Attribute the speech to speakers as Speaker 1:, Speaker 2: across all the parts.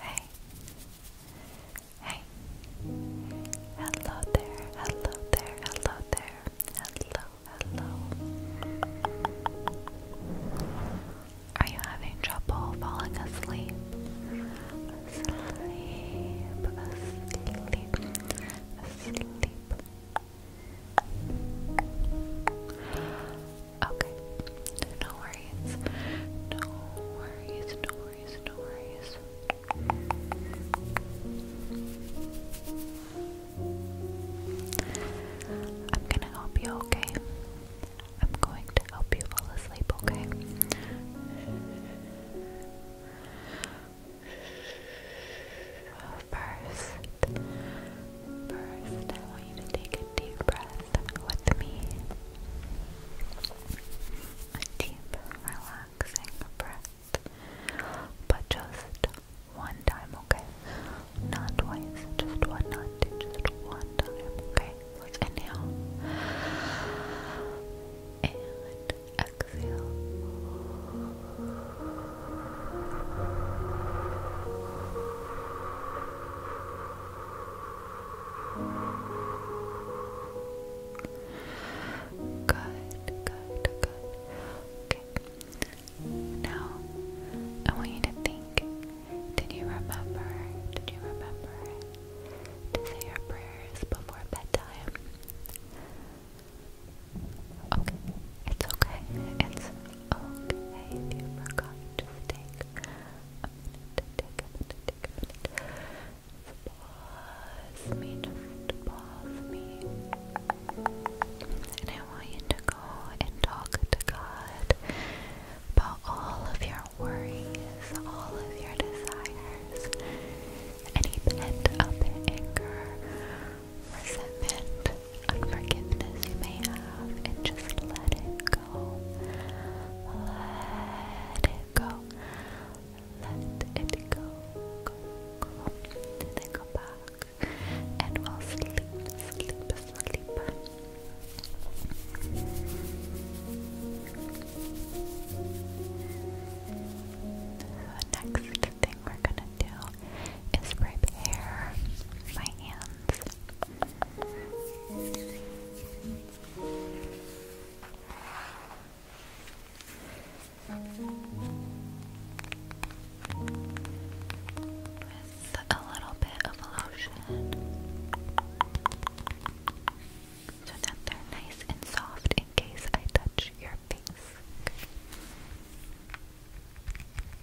Speaker 1: Hey, hey, hello there, hello there, hello there, hello, hello. Are you having trouble falling asleep? Sleep, asleep, asleep. Okay. No worries. No worries. No worries. No worries. I'm gonna help you, okay? I'm going to help you fall asleep, okay? First, First, I want you to take a deep breath with me. A deep, relaxing breath. But just one time, okay? Not twice, just one, not just one time, okay? Let's inhale. And exhale. Good, good, good. Okay. Now, I want you to think. Did you remember? Did you remember to say your prayers before bedtime? Okay, it's okay. It's Okay, you forgot to take a minute, take a minute, take a minute. Pause me, pause me. And I want you to go and talk to God about all of your worries, all of your desires, any pent up anger, resentment, unforgiveness you may have and just let it go. Let it go. Let it go. Go, go. go back. And we'll sleep, sleep, sleep. The next thing we're gonna do is prepare my hands. With a little bit of lotion, so that they're nice and soft in case I touch your face.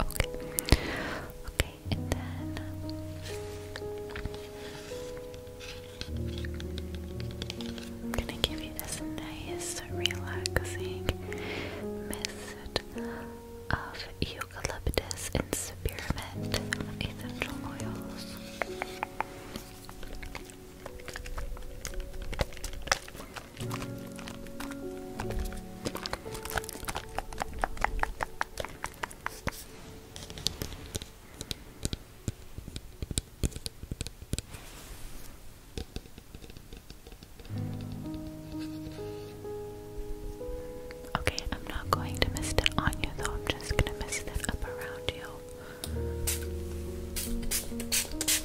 Speaker 1: Okay. Okay, and then I'm gonna give you this nice, relaxing mist of eucalyptus and spearmint essential oils. Okay, I'm not going to mist it on you though, I'm just gonna mist it up around you.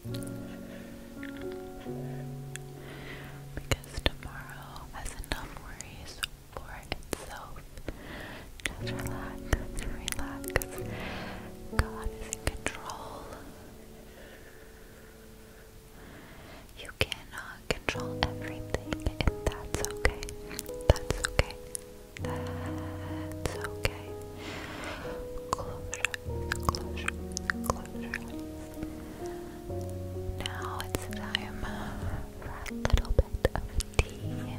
Speaker 1: Because tomorrow has enough worries for itself. Just relax, relax. God is in control. You cannot control everything, and that's okay. That's okay. That's okay. Closure, closure, closure. Now it's time for a little bit of tea.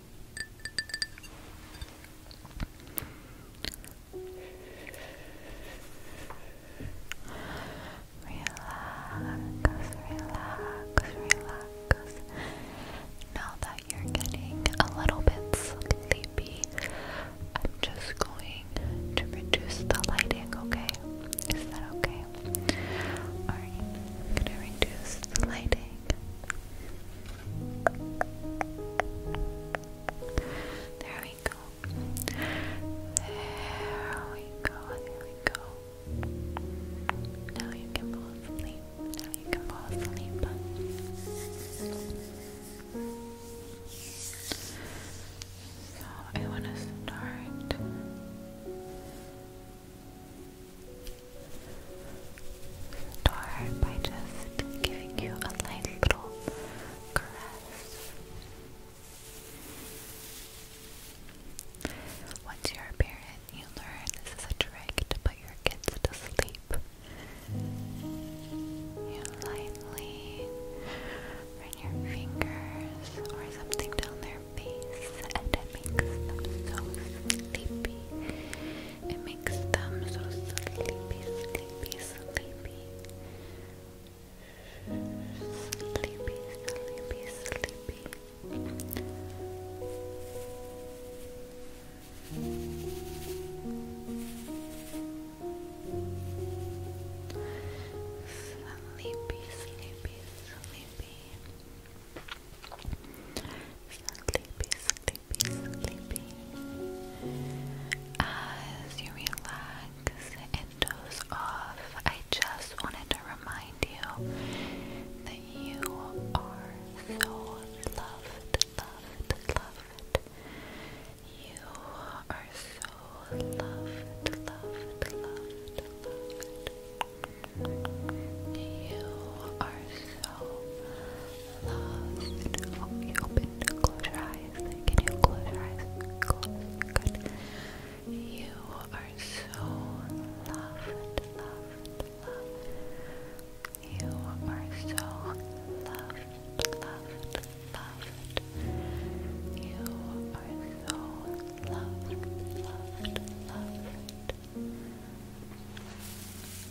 Speaker 1: Relax, relax, relax. Now that you're getting a little bit sleepy, I'm just going to reduce the lighting, okay? Is that okay? Alright, I'm gonna reduce the lighting. There we go. There we go. There we go.
Speaker 2: Now you can fall asleep. Now you can fall asleep. So I want to start door by just giving you a light little caress. Once you're a parent, you learn this is a trick to put your kids to sleep. You lightly run your fingers or something down their face, and it makes them so sleepy. It makes them so sleepy, sleepy, sleepy. Sleepy, sleepy, sleepy. Sleepy, sleepy, sleepy. Sleepy, as you relax and doze off, I just wanted to remind you that you are so loved, loved, loved. You are so loved, loved, loved. You are so Loved. you Close your eyes. Can you close your eyes? Good. You are so loved, loved, loved. You are so loved, loved, loved. You are so loved, loved, loved.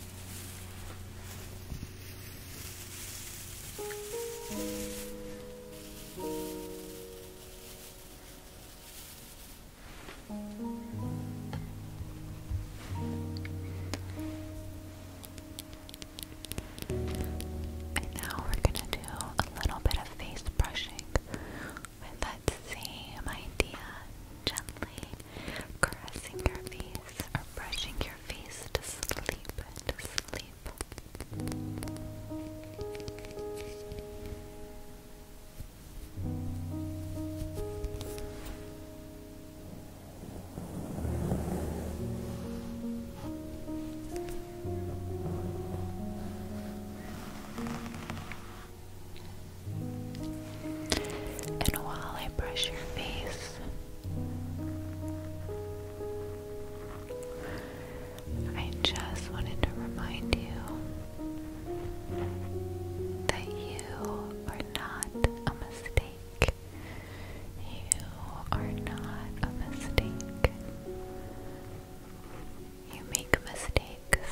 Speaker 2: And now we're going to do a little bit of face brushing with that same idea gently caressing your face or brushing your face to sleep, to sleep. And while I brush your face, I just wanted to remind you that you are not a mistake. You are not a mistake. You make mistakes.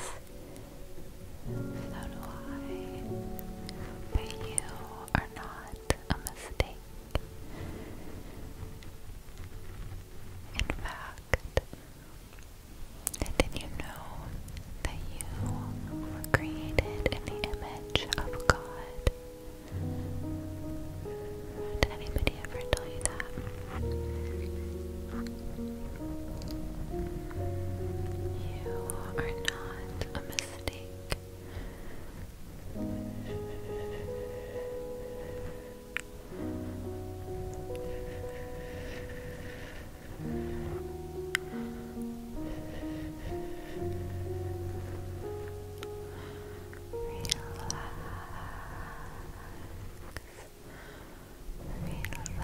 Speaker 2: So do I. But you are not a mistake. In fact, did you know that you were created in the image of God? Did anybody ever tell you that? You are not not a mistake. Relax. Relax.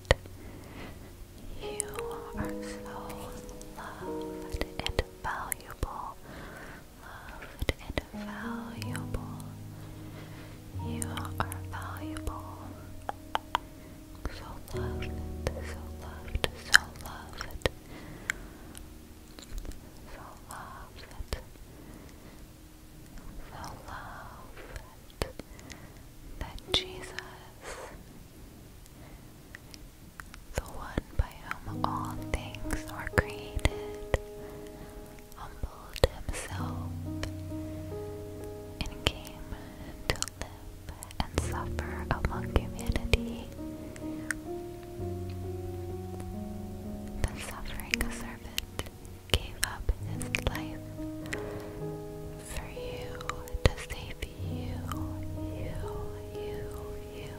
Speaker 2: You are so loved and valuable. Loved and valuable. You are valuable. So loved, so loved, so loved. So loved the love that, Jesus, the one by whom all things are created, humbled himself and came to live and suffer among humanity. The suffering servant gave up his life for you to save you, you, you, you,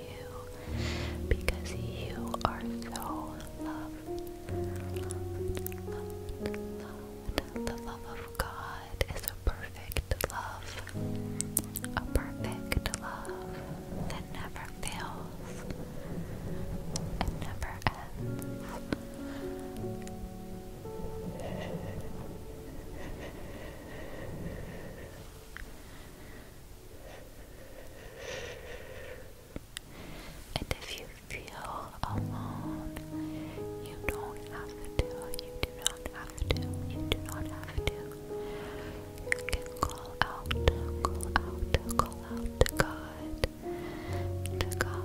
Speaker 2: you, because you are so loved. The love of God is a perfect love, a perfect love that never fails. It never ends. And if you feel alone, you don't have to, you do not have to, you do not have to. You can call out, call out, call out to God to God.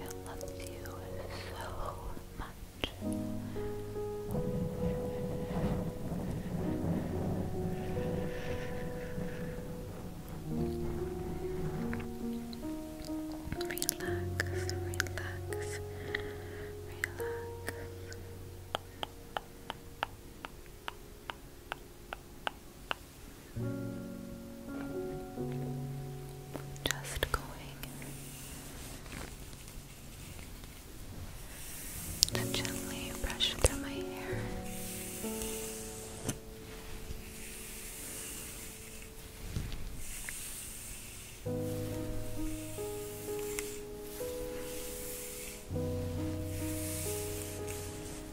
Speaker 2: It loves you so much. Relax, relax, relax. Just going and gently brush through my hair.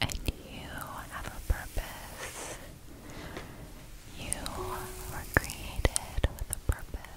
Speaker 1: and you have a purpose. You were created with a purpose.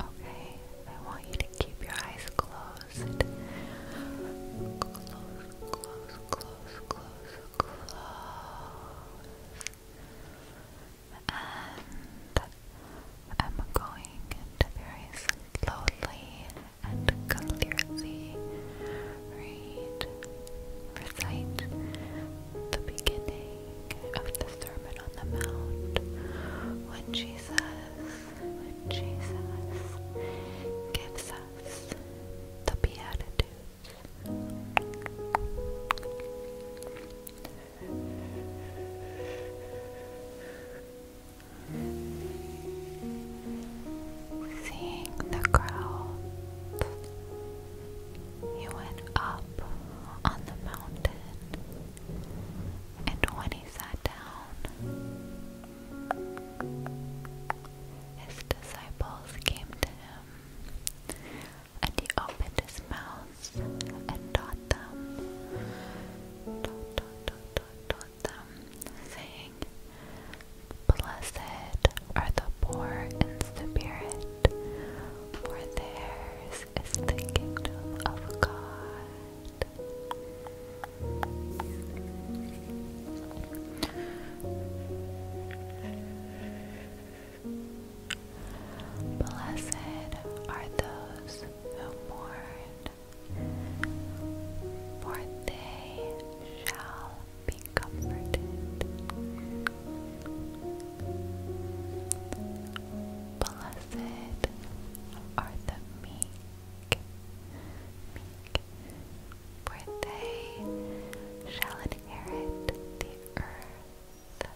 Speaker 1: Okay, I want you to keep your eyes closed. Close, close, close, close, close. And I'm going to very slowly and clearly read, recite the beginning of the Sermon on the Mount when Jesus, when Jesus gives us the Beatitudes. Seeing the crowd. He went up on the mountain and when he sat down, his disciples came to him, and he opened his mouth and taught them, taught, them, saying, Blessed are the poor in spirit, for theirs is the kingdom of God. Blessed are those who mourn, for they shall be comforted. Blessed Blessed are the meek, for they shall inherit the earth.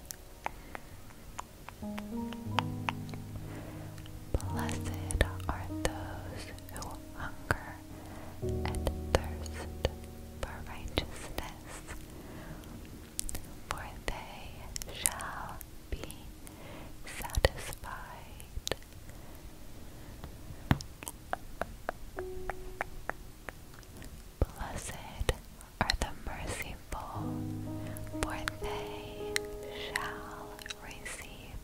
Speaker 1: Blessed are those who hunger and thirst for righteousness, for they shall be satisfied. Blessed are the merciful, for they shall receive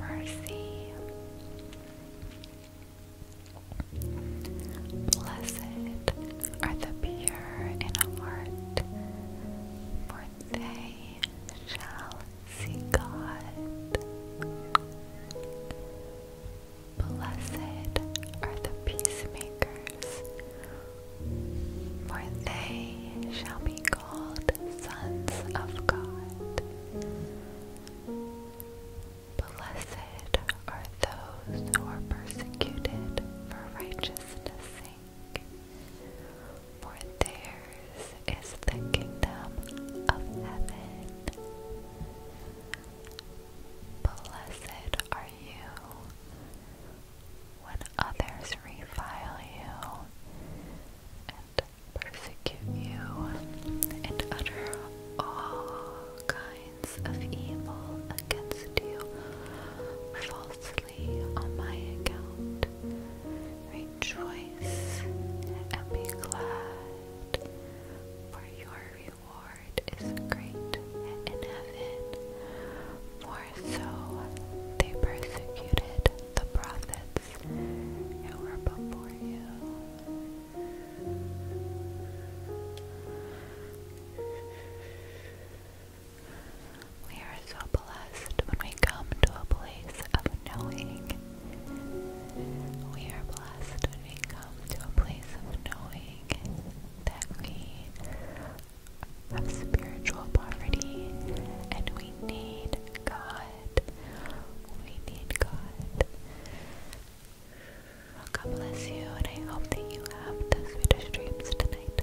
Speaker 1: mercy. Blessed are the pure in heart, for they shall see God. Blessed are the peacemakers, for they shall be called sons of God. Blessed are those who are persecuted for righteousness' sake, for theirs is the kingdom of heaven. Blessed are you when others revile you and persecute you and utter all kinds of evil against you falsely on my account. Rejoice and be glad, for your reward is great in heaven. More so they persecuted the prophets who were before you. We are so blessed when we come to a place of knowing. We are blessed when we come to a place of knowing that we have spiritual poverty and we need God. We need God. God bless you, and I hope that you have the sweetest dreams tonight.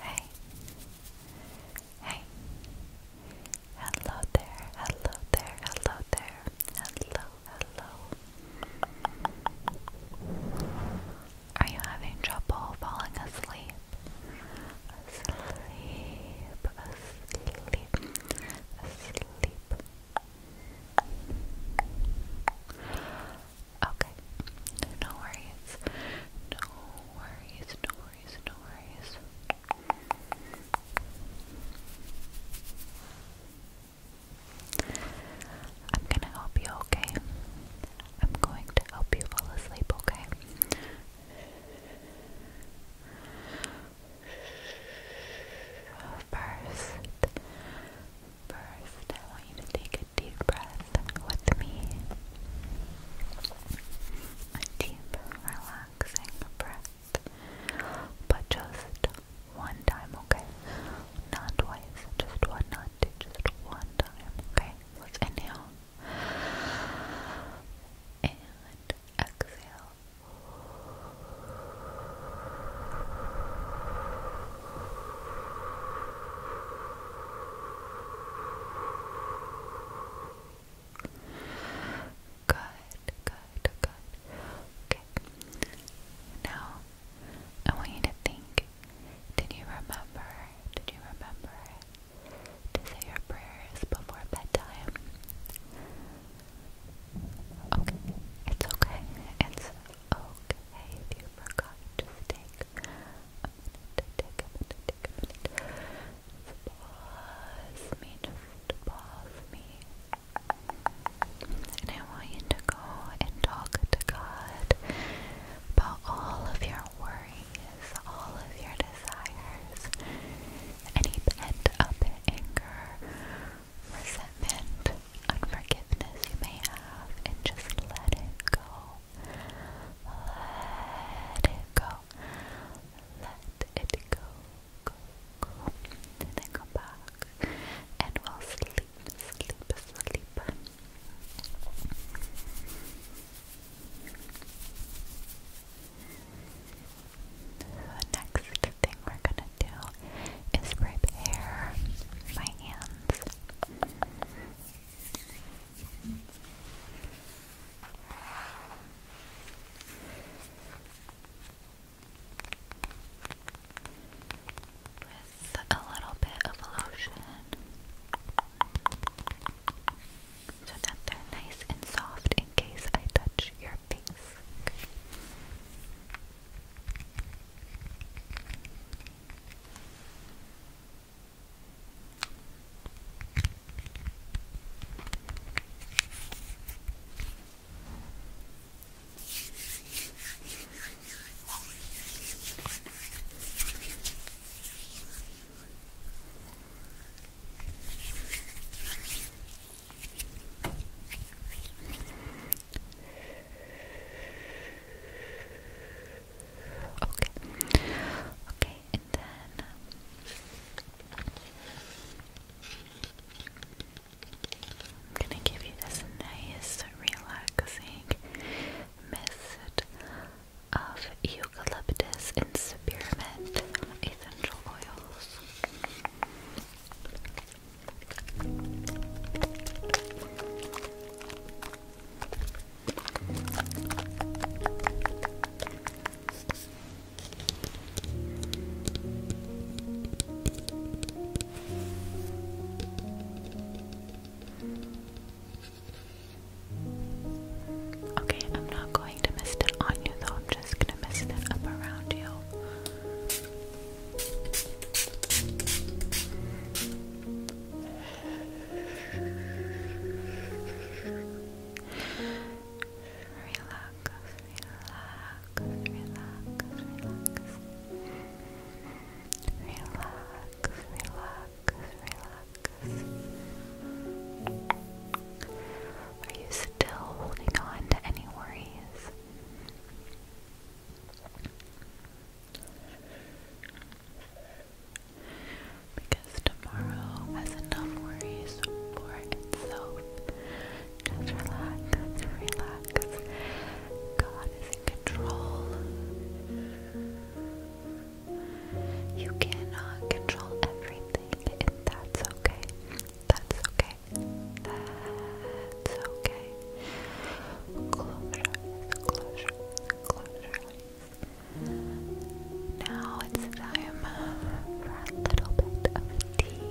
Speaker 1: Hey. Hey. Hello there, hello there, hello there, hello, hello. Are you having trouble falling asleep? Asleep, asleep, asleep. Okay, no worries, no worries, no worries, no worries. I'm gonna help you, okay? I'm going to help you fall asleep, okay? First, first, I want you to take a deep breath with me. A deep, relaxing breath. But just one time, okay? Not twice, just one just one time. Okay, let's inhale and exhale. Good, good, good. Okay. Now I want you to think did you remember? Did you remember to say your prayers before bedtime? Okay, it's okay. It's okay if you forgot. Just take a minute, take a minute, take a minute. Pause me, just pause me. And I want you to and talk to God about all of your worries, all of your desires, any pent up anger, resentment, unforgiveness you may have, and just let it go. Let it go. Let it go. Go, go. then come back. And we'll sleep, sleep, sleep. The next thing we're gonna do is prepare my hands with a little bit of lotion so that they're nice and soft in case I touch your face. Okay. Okay, and then um, I'm gonna give you this nice, relaxing mist of eucalyptus and spearmint essential oils. Okay, I'm not going to mist it on you though, I'm just gonna mist it up around you. Relax, relax, relax, relax relax, relax, relax. Are you still holding on to any worries? Because tomorrow has enough worries for itself. Just relax, relax. God is in control. You cannot control everything, and that's okay. That's okay. That's okay. Close your eyes, Now it's time for a little bit of tea.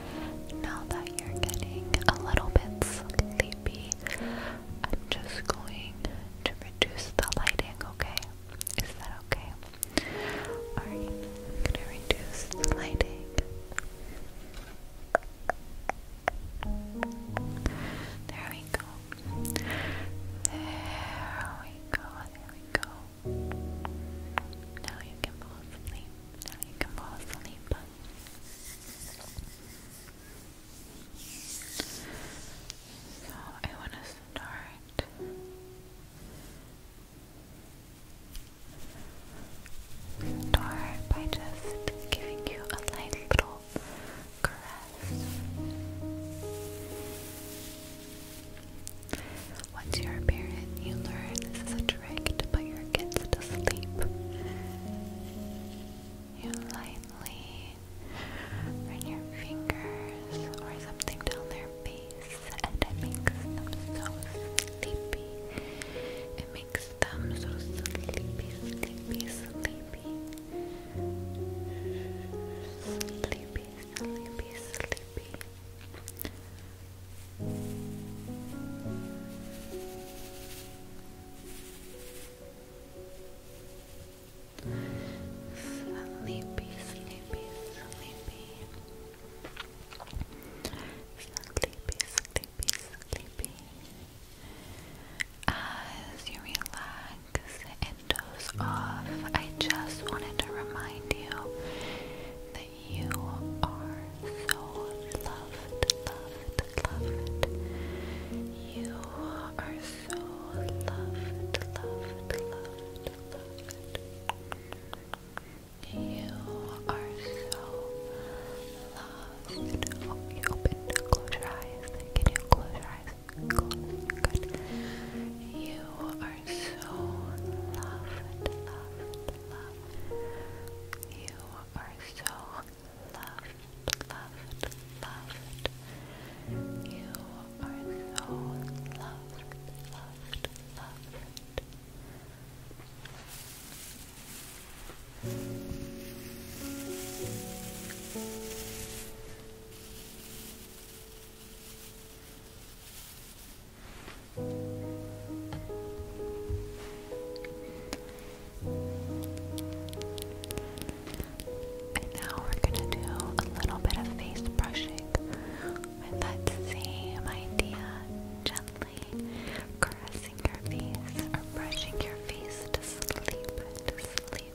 Speaker 1: Now that you're getting a little bit sleepy, I'm just going to reduce the lighting, okay? Is that okay? Alright, I'm gonna reduce the lighting. There we go. There we go, there we go.
Speaker 2: Now you can fall asleep. Now you can fall asleep. So I want to start start by just giving you a light little caress. Once you're a parent, you learn this is a trick to put your kids to sleep. You lightly run your fingers or something down their face, and it makes them so sleepy. It makes them so sleepy, sleepy, sleepy. Sleepy, sleepy, sleepy. Sleepy, sleepy, sleepy. Sleepy, sleepy, sleepy. As you relax and doze off, I just wanted to remind you that you are so loved, loved, loved. You are so loved, loved, loved, loved. You are so loved. Oh, you opened, close your eyes. Can you close your eyes? Good. You are so loved, loved, loved. You are so loved, loved, loved. You are so loved, loved, loved. And now we're going to do a little bit of face brushing with that same idea, gently brushing your face to sleep, to sleep.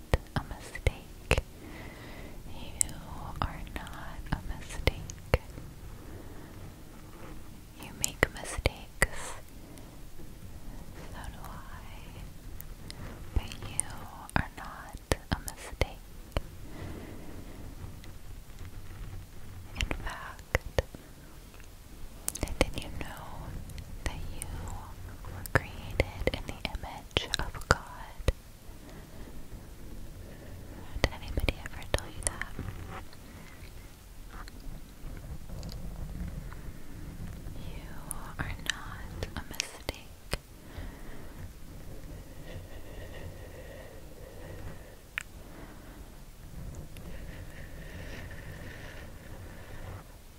Speaker 2: a mistake. You are not a mistake. You make mistakes. So do I. But you are not a mistake. In fact, did you know that you were created in the image of God. Did anybody ever tell you that? You are not a mistake.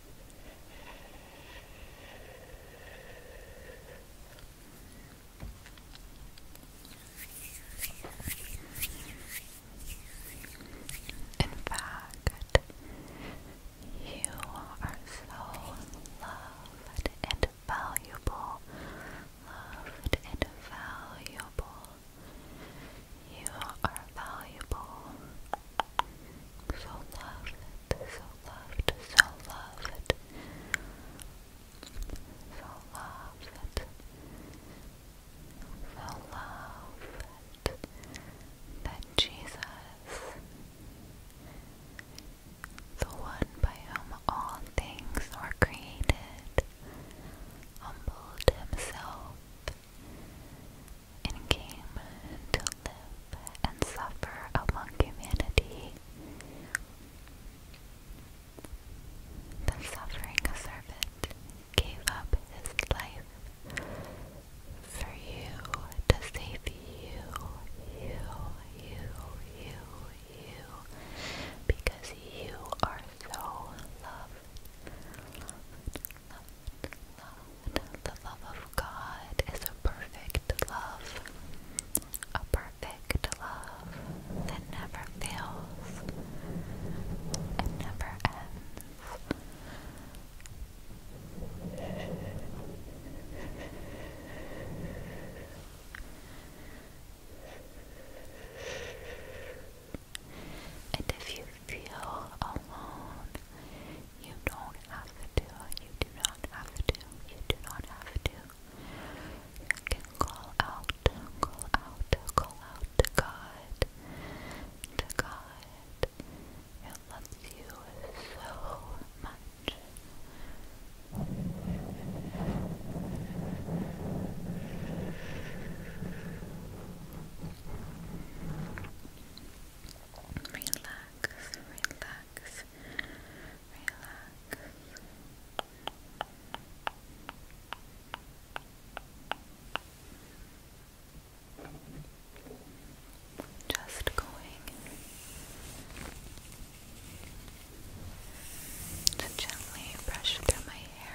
Speaker 2: in fact, you are so loved and valuable, loved and valuable. You are valuable. So loved, so loved, so loved. So loved. So loved that Jesus, the one by whom all things were created, humbled himself and came to live and suffer among humanity. The suffering servant gave up his life for you to save you, you, you, you, you, because you are so loved, the love of God is a perfect love, a perfect love that never fails, it never ends. And if you feel alone, you don't have to. You do not have to. You do not have to. You can call out, call out, call out to God, to God. It loves you so much. Relax, relax, relax. Just going to gently brush through my hair.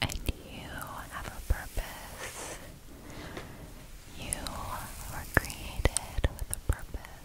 Speaker 2: And you have a purpose. You were created with a purpose.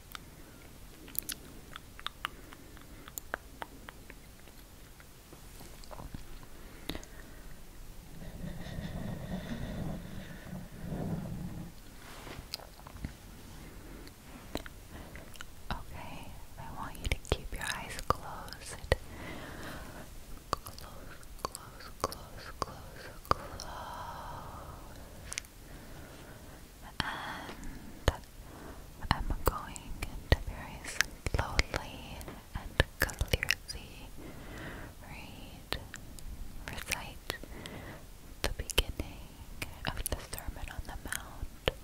Speaker 2: Okay, I want you to keep your eyes closed. Close, close, close, close, close and I'm going to very slowly and clearly read, recite the beginning of the Sermon on the Mount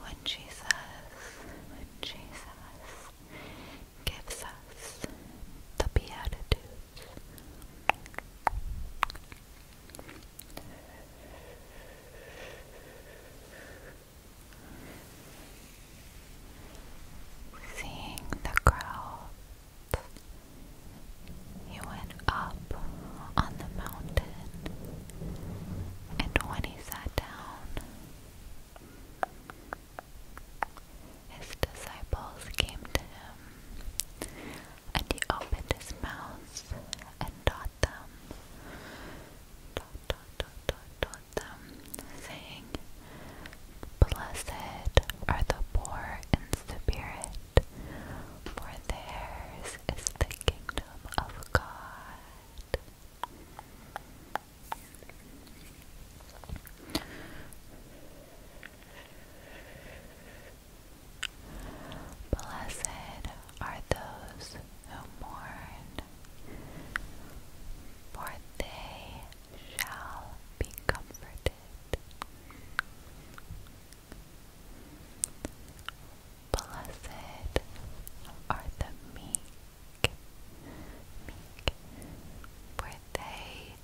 Speaker 2: when Jesus, when Jesus gives us the Beatitudes. Seeing the crowd, he went up on the mountain, and when he sat down, his disciples came to him, and he opened his mouth and taught them, dot, dot, dot, dot, dot them, saying, Blessed are the poor in spirit, for theirs is the kingdom of God. Blessed are those who mourn, for they shall be comforted. Blessed are the meek, meek, for they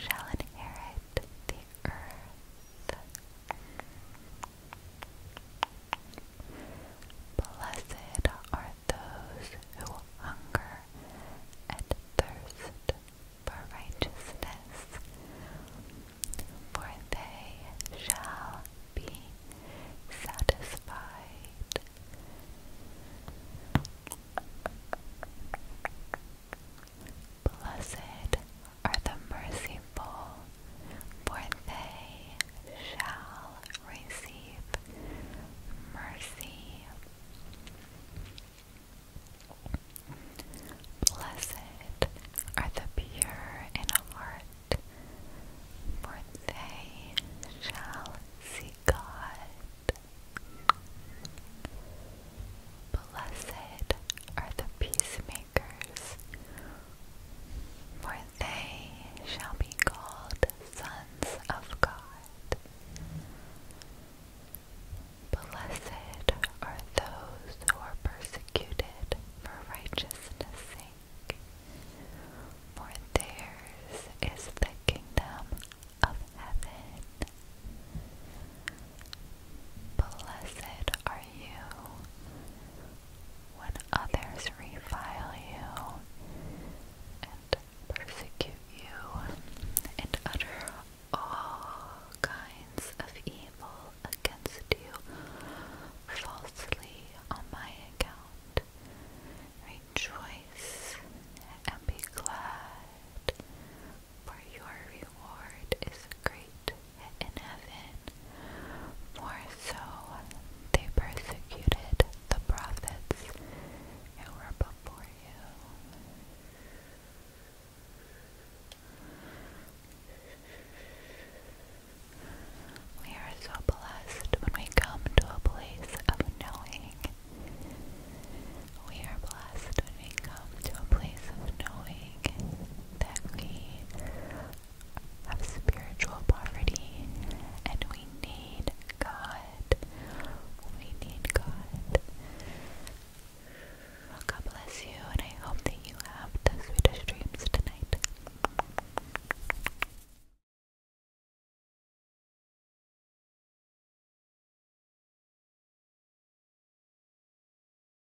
Speaker 2: shall inherit the earth. Blessed are those who hunger and thirst for righteousness, for they shall be satisfied. Blessed are the merciful, for they shall receive mercy. Blessed are the pure in heart, for they shall see God. Blessed are the peacemakers, for they shall be called sons of God. Blessed are those who are persecuted for righteousness' sake, for theirs is the kingdom of heaven. Blessed are you when others revile you and persecute you and utter all kinds of evil against you falsely on my account. Rejoice and be glad, for your reward is great in heaven. More so, they persecuted the prophets who were before you. We are so blessed when we come to a place of knowing. We are blessed when we come to a place of knowing that we have spiritual poverty and we need God. We need God. God bless you, and I hope that you have the sweetest dreams tonight.